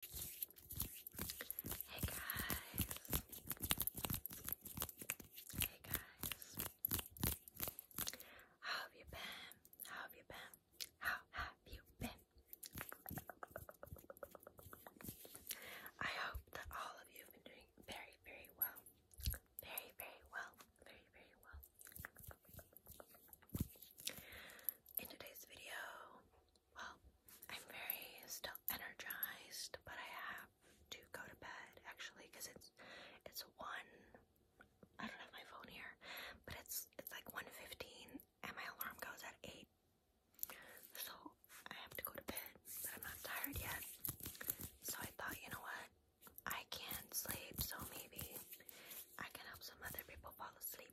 Hey guys. Hey guys. How have you been? How have you been? How have you been? I hope that all of you have been doing very, very well. Very, very well. Very, very well. In today's video, well, I'm very still energized, but I have to go to bed actually because it's it's one. I don't have my phone here, but it's it's like 1:15, and my alarm goes at eight. So I have to go to bed, but I'm not tired yet. So I thought, you know what? I can't sleep, so maybe I can help some other people fall asleep.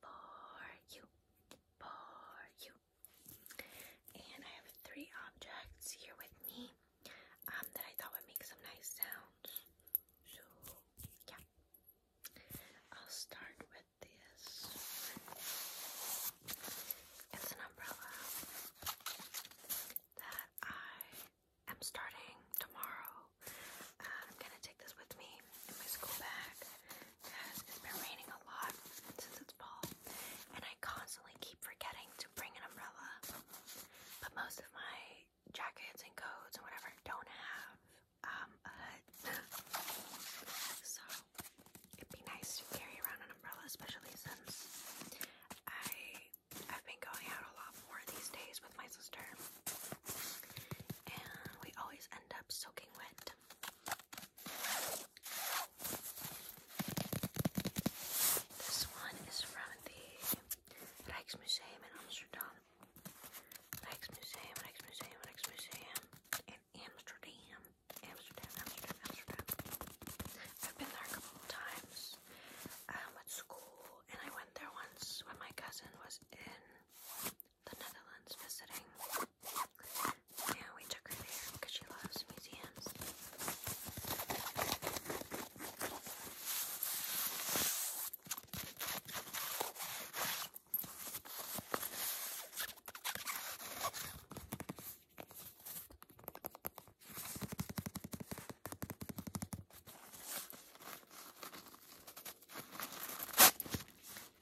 for you, for you. And I have three objects here with me um, that I thought would make some nice sounds. So, yeah. I'll start with this It's an umbrella that I am starting tomorrow. Uh, I'm gonna take this with me in my school bag because it's been raining a lot since it's fall, and I constantly keep forgetting to bring an umbrella. But most of my jackets and coats and whatever don't have um, a hood, so it'd be nice to carry around an umbrella, especially since I I've been going out a lot more these days with my sister, and we always end up soaking wet. This one is from the Rijksmuseum in Amsterdam. Rijksmuseum, Rijksmuseum, Rijksmuseum in Amsterdam. Amsterdam, Amsterdam, Amsterdam. I've been there a couple of times um, at school, and I went there once when my cousin was in the Netherlands visiting. Yeah, we took her there because she loves museums.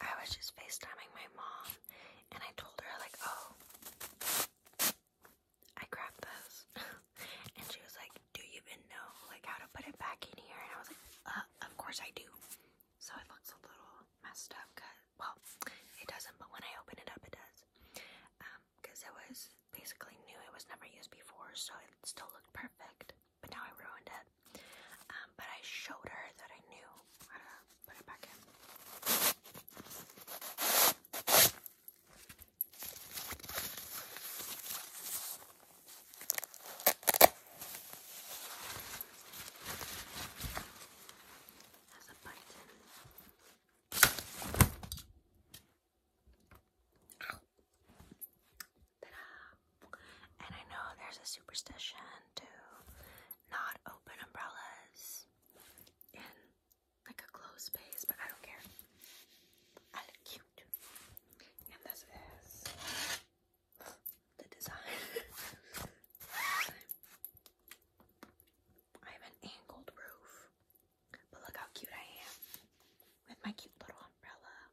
I was just FaceTiming my mom and I told her like, oh, I grabbed this. and she was like, do you even know like how to put it back in here? And I was like, uh, of course I do. So it looks a little messed up because, well, it doesn't, but when I open it up, it does. Because um, it was basically new, it was never used before, so it still looked perfect but now I ruined it. Um, but I showed her that I knew put it back in. And I know there's a superstition to not open umbrellas in like a closed space, but I don't care. I cute. And this is the design. I have an angled roof, but look how cute I am with my cute little umbrella.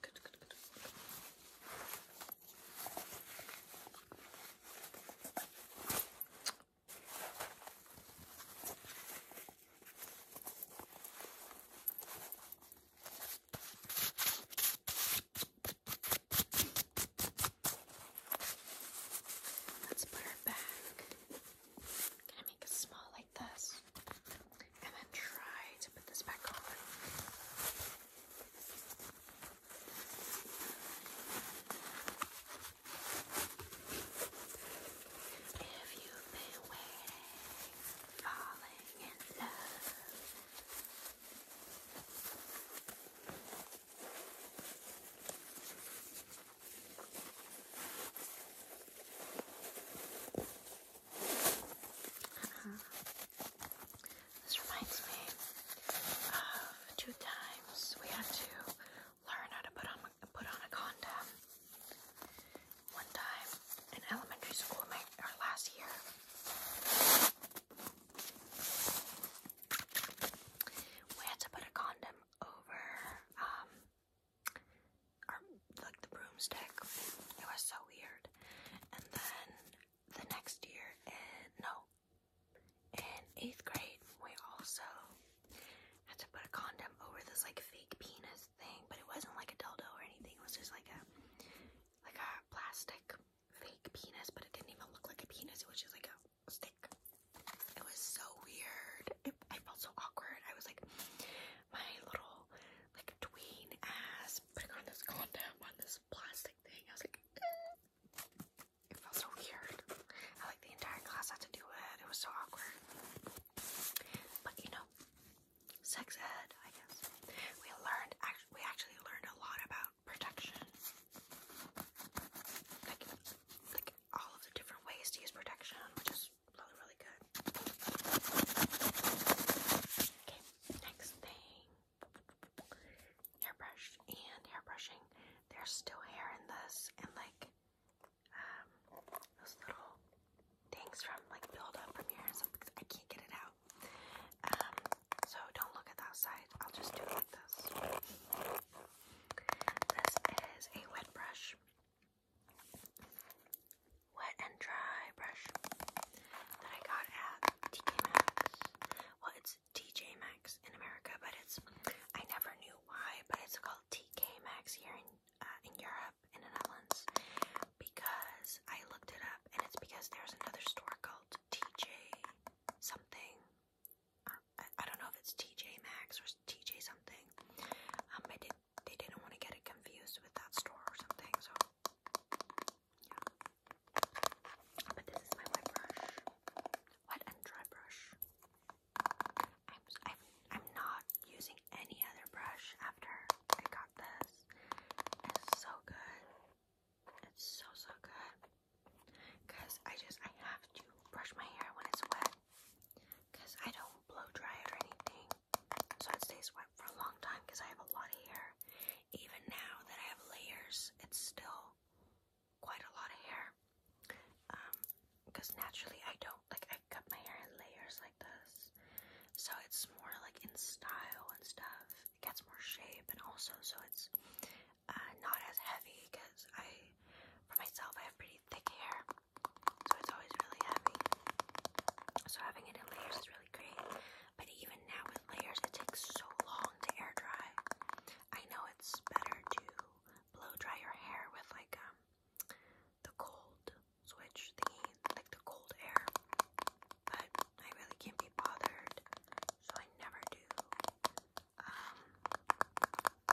Good, good, good. Let's put her back. Can I make a smaller this and then try to put this back on. If you've been waiting, falling in love. Uh-huh. This reminds me of two times we had to learn how to put on put on a condom. One time in elementary school, my or last year, we had to put a condom over um, like the broomstick. It was so weird. And then the next year, no, in eighth grade, we also had to put a condom over this like fake penis thing, but it wasn't like a dildo or anything. It was just like a like a plastic fake penis, but it didn't even look like a penis. It was just like a stick. It was so weird. It, I felt so awkward. I was like, my little like tween ass putting on this condom on this plastic thing. I was like, it felt so weird. I like the entire class had to do it. It was so awkward. But you know, sex ed, I guess. We learned. we actually learned a lot about protection, like like all of the different ways to use protection, Probably really good. Okay, next thing hairbrush and hair brushing. There's still hair in this, and like um, those little things from like build from your hair I can't get it out. Um, so don't look at that side. I'll just do it like this. This is a wet brush wet and dry brush that I got at TK Maxx. Well, it's TJ Max in America, but it's I never knew why, but it's called TK Max here in uh, in Europe in the Netherlands because I looked it up, and it's because there's another store called TJ something. Uh, I, don't know if it's TJ Max or TJ something. Um, I they didn't want to get it confused with that store or something, so yeah. But this is my wet brush, wet and dry brush. I'm I'm I'm not using any other brush after I got this. It's so good. It's so so good. Cause I just I have to brush my hair when it's wet. Cause I don't blow dry it or anything, so it stays wet for a long time because I have a lot of hair. Even now that I have layers, it's still quite a lot of hair. because um, naturally I don't like I cut my hair in layers like this. So it's more like in style and stuff. It gets more shape and also so it's uh, not as heavy because I for myself I have pretty thick hair so it's always really heavy. So having it in layers is really great. But even now with layers, it takes so long to air dry. I know it's better to blow dry your hair with like um the cold switch thingy, like the cold air. But I really can't be bothered, so I never do. Um,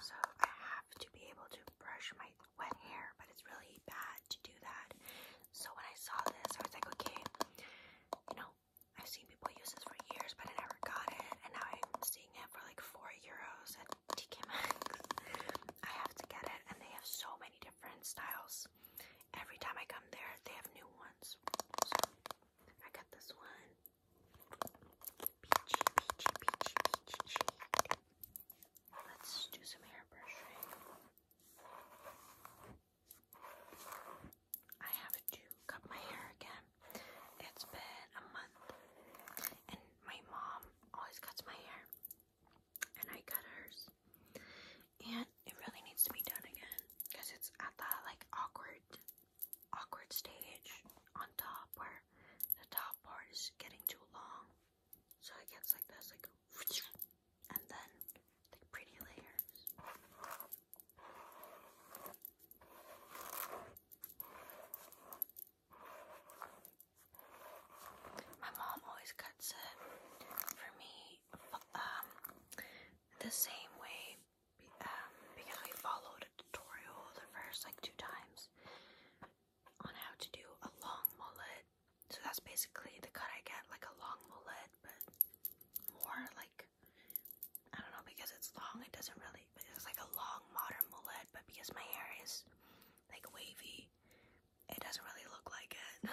so I have to be able to brush my wet hair, but it's really bad to do that. So when I saw this, I was like, okay, you know, I've seen people use this for years, but I never got it, and now I'm seeing it for like four euros at TK Maxx. I have to get it, and they have so many different styles. Every time I come there, they have new ones. So I got this one. Peachy, peachy, peachy, peachy, peachy. Let's do some hairbrushing. I have to cut my hair again. It's been a month, and my mom always cuts my hair, and I cut hers, and it really needs to be done again because it's at that like awkward, awkward stage on top where the top part is getting too long. So it gets like this, like, and then like pretty layers. My mom always cuts it for me um, the same way um, because we followed a tutorial the first like two times on how to do a long mullet. So that's basically the cut I get, like a long mullet, but more like I don't know because it's long. It doesn't really, it's like a long modern mullet. But because my hair is like wavy, it doesn't really look like it.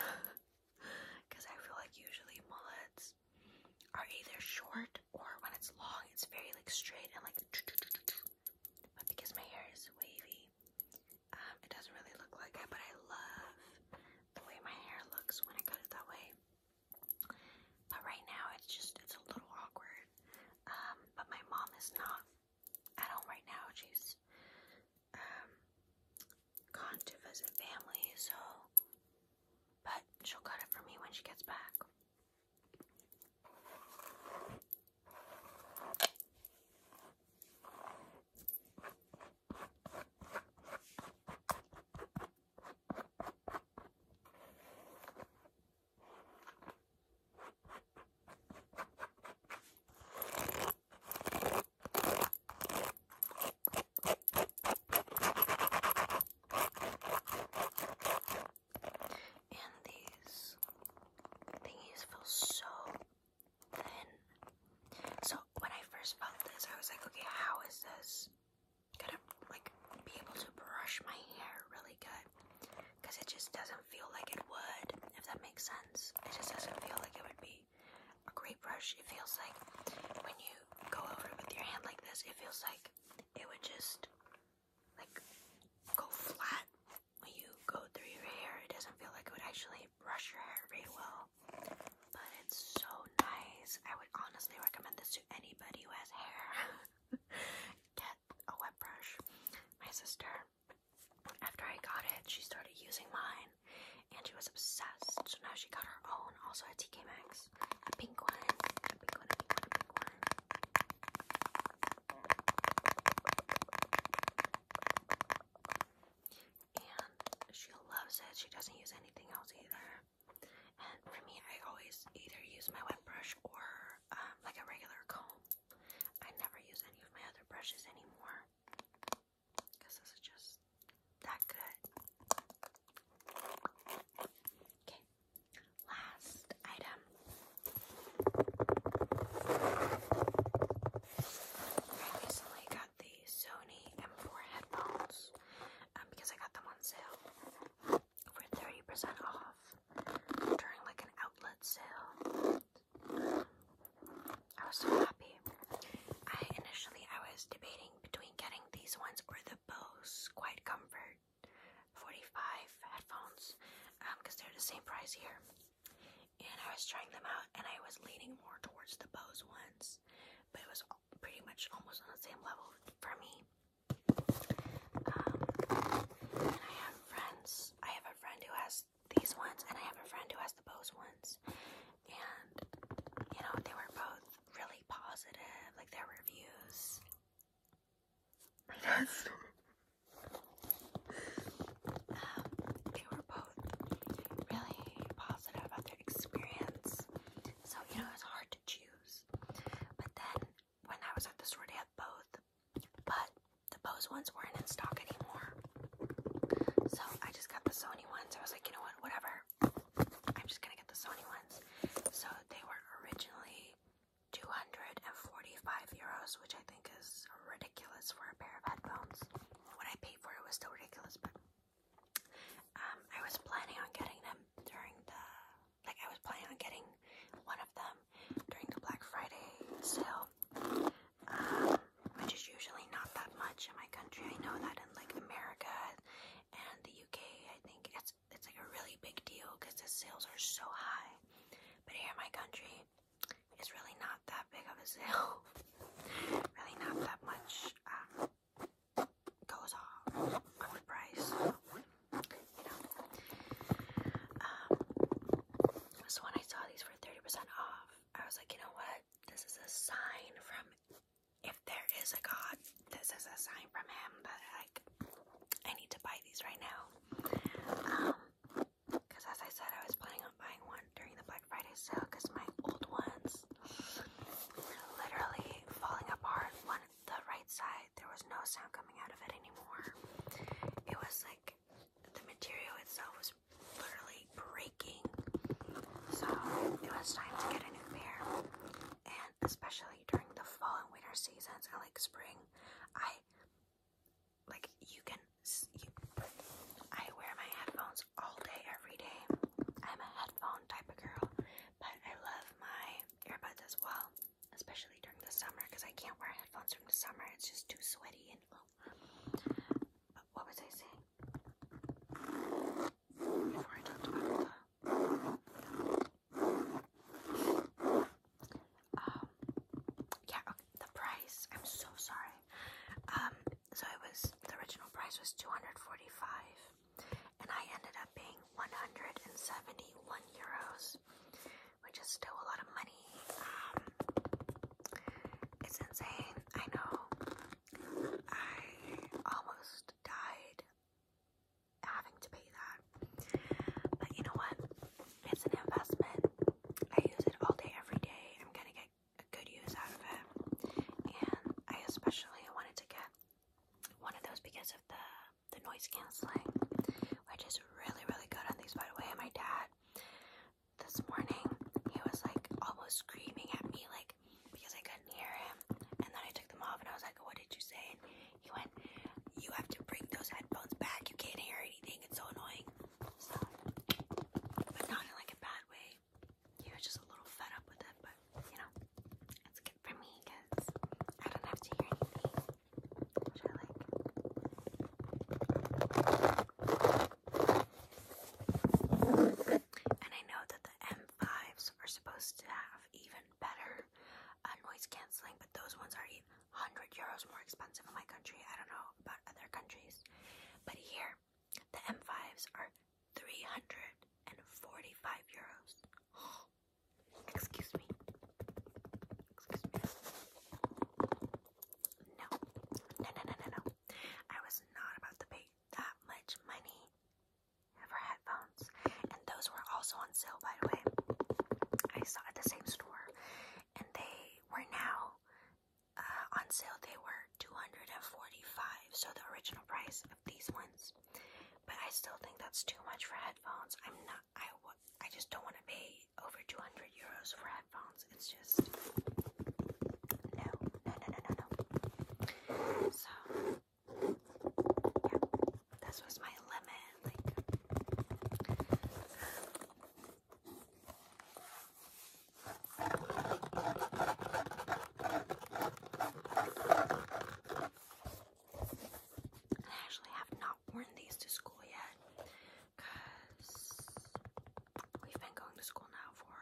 Because I feel like usually mullets are either short or when it's long, it's very like straight and like. But because my hair is wavy, um, it doesn't really look like it, but I love the way my hair looks when I cut it that way. But right now, it's just, it's a little awkward. Um, but my mom is not at home right now. She's, um, gone to visit family, so, but she'll cut it for me when she gets back. And these thingies feel so then so when I first felt this, I was like, okay, how is this gonna like be able to brush my hair really good? Because it just doesn't feel like it would, if that makes sense. It just doesn't feel like it would be a great brush. It feels like when you go over it with your hand like this, it feels like it would just like go flat when you go through your hair, it doesn't feel like it would actually brush your hair very well. But it's so nice. I would honestly recommend this to anybody who has hair. Get a wet brush. My sister, after I got it, she started using mine and she was obsessed. So now she got her own, also a TK Maxx. a pink one and she loves it. She doesn't use anything else either. And for me, I always either use my wet brush or um, like a regular comb. I never use any of my other brushes anymore because this is just that good. Okay, last item. I recently got the Sony M4 headphones um, because I got them on sale for 30% off during like an outlet sale. I was so happy. I initially I was debating between getting these ones or the Bose Quiet Comfort 45 headphones because um, they're the same price here and I was trying them out and I was leaning more towards the Bose ones, but it was pretty much almost on the same level for me. Um, and I have friends, I have a friend who has these ones and I have a friend who has the Bose ones, and you know, they were both really positive, like their reviews. My they were both really positive about their experience. So, you know, it was hard to choose. But then when I was at the store, they had both. But the Bose ones weren't in stock anymore. So I just got the Sony ones. I was like, you know what, whatever. I'm just gonna get the Sony ones. So they were originally 245 euros, which I think is ridiculous for a pair of headphones. What I paid for it was still ridiculous, but um, I was planning on getting them during the like I was planning on getting one of them during the Black Friday sale, um, which is usually not that much in my country. I know that in like America and the UK, I think it's it's like a really big deal because the sales are so high. But here in my country, it's really not that big of a sale. really not that much um, goes off on the price. Um, so when I saw these for 30% off, I was like, you know what? This is a sign from if there is a God, this is a sign from him that like I need to buy these right now. Um, because as I said, I was planning on buying one during the Black Friday sale because my old ones were literally falling apart. On the right side, there was no sound coming out of it anymore. It was like the material itself was literally breaking. So it was time to get a new pair. And especially during the fall and winter seasons and like spring, I like you can I wear my headphones all day every day. I'm a headphone type of girl, but I love my earbuds as well, especially during the summer because I can't wear headphones during the summer. It's just too sweaty and oh. what was I saying? Before I talked about the um, yeah, the price. I'm so sorry. Um, so it was the original price was two hundred forty-five, and I ended up being one hundred and seventy-one euros, which is still a lot of money. Um, it's insane. I know. I almost died having to pay that, but you know what? It's an investment. I use it all day, every day. I'm gonna get a good use out of it. And I especially wanted to get one of those because of the the noise canceling, which is really, really good on these by the way. my dad this morning he was like almost screaming at me like because I couldn't hear him. And then I took them off and I was like, What did you say? And he went, You have to bring those headphones back, you can't hear anything, it's so annoying but not in like a bad way. He was just a little fed up with it, but you know, it's good for me because I don't have to hear anything, which I like. And I know that the M5s are supposed to have even better uh, noise canceling, but those ones are even 100 euros more expensive in my country. I don't know about other countries, but here the M5s are 345 euros. Excuse me. Excuse me. No. No, no, no, no, I was not about to pay that much money for headphones. And those were also on sale, by the way. I saw at the same store. And they were now uh, on sale they were 245 so the original price of these ones but i still think that's too much for headphones i'm not i w I just don't want to pay over 200 euros for headphones it's just no no no no no so yeah this was my limit like I actually have not worn these to school yet because we've been going to school now for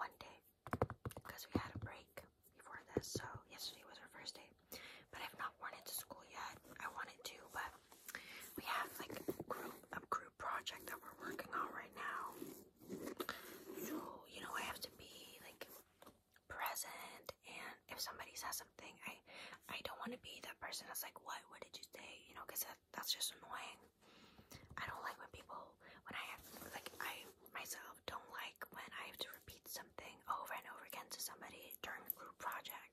one day because we had a break before this. So yesterday was our first day, but I've not worn it to school yet. I wanted to, but we have like a group a group project that we're working on right now. So, you know, I have to be like present and if somebody says something, I I don't want to be that person that's like, "What? What did you say?" you know, cuz that, that's just annoying. I don't like when people when I have like I myself don't like when I have to repeat something over and over again to somebody during a group project.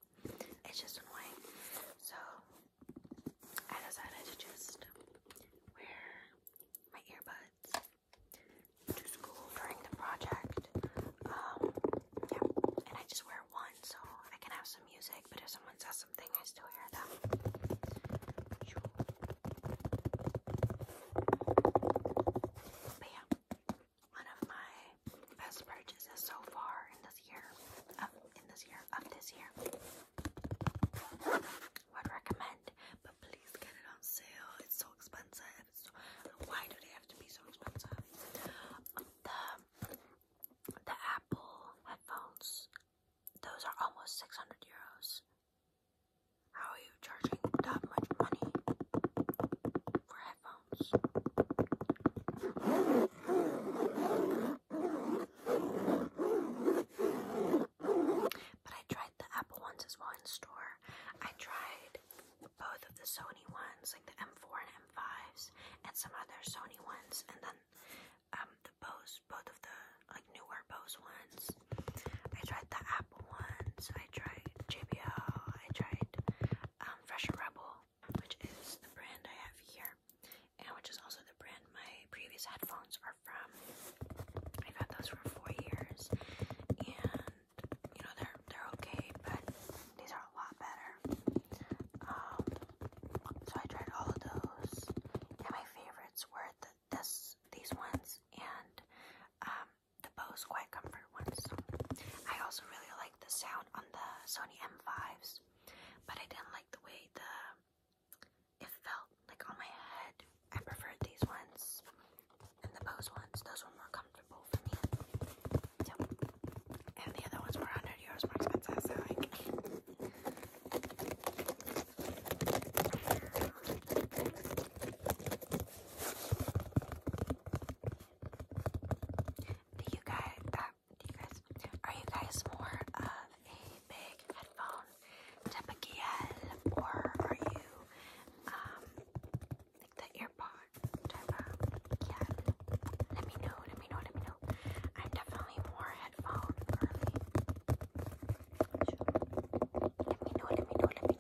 It's just annoying. So I decided to just wear my earbuds to school during the project. Um, yeah, and I just wear one so I can have some music, but if someone says something, I still hear them. But yeah, one of my best purchases so far in this year, in this year, of this year. Would recommend, but please get it on sale. It's so expensive. why do they have to be so expensive? The the Apple headphones, those are almost six hundred euros. How are you charging that much money for headphones? But I tried the Apple ones as well in store. I tried both of the Sony ones, like the M4 and M5s, and some other Sony ones, and then um the Bose, both of the like newer Bose ones. I tried the Apple ones. I tried JBL. I tried um Fresher Rebel which is the brand I have here, and which is also the brand my previous headphones are from. I've had those for four years, and you know they're they're okay, but these are a lot better. Um, so I tried all of those, and my favorites were the this these ones and um, the Bose Quiet ones. I also really like the sound on the Sony M5s but I didn't like the way the it felt like on my head. I preferred these ones and the Bose ones. Those were more comfortable for me. and the other ones were 100 euros more expensive, like... Do you guys, do you guys are you guys more of a big headphone type of GL or are you um like the earpod type of GL? Let me know, let me know, let me know. I'm definitely more headphone Let me know, let me know, let me know, let me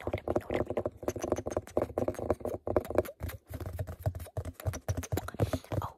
know, let me know. Oh,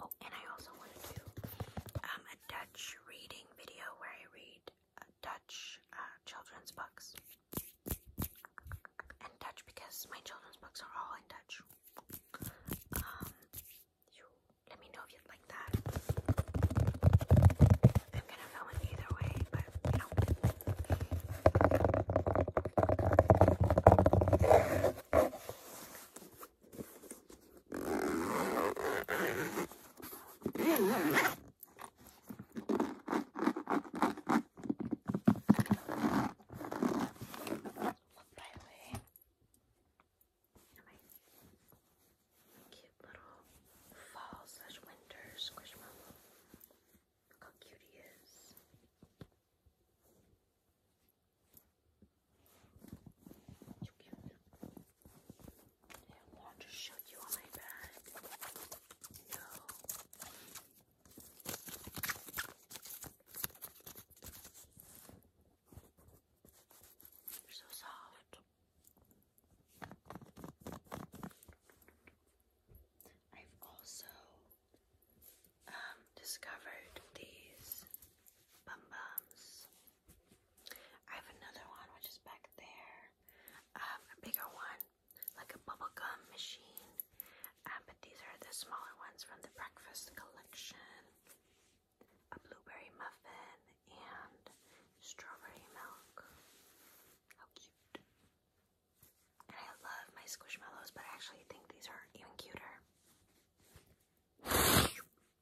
Oh, and I also want to do um, a Dutch reading video where I read uh, Dutch uh, children's books. And Dutch because my children's books are all in Dutch. Um, let me know if you'd like that. I'm gonna film it either way, but you know. By the way, my cute little fall slash winter squishmallow. Look how cute he is. You I want to show you my bag. No. are so soft. I've also um, discovered these bum I have another one which is back there. Um, a bigger one, like a bubble gum machine. Um, but these are the smaller ones from the breakfast collection. A blueberry muffin and strawberry milk. How cute. And I love my squishmallows, but I actually think these are even cuter.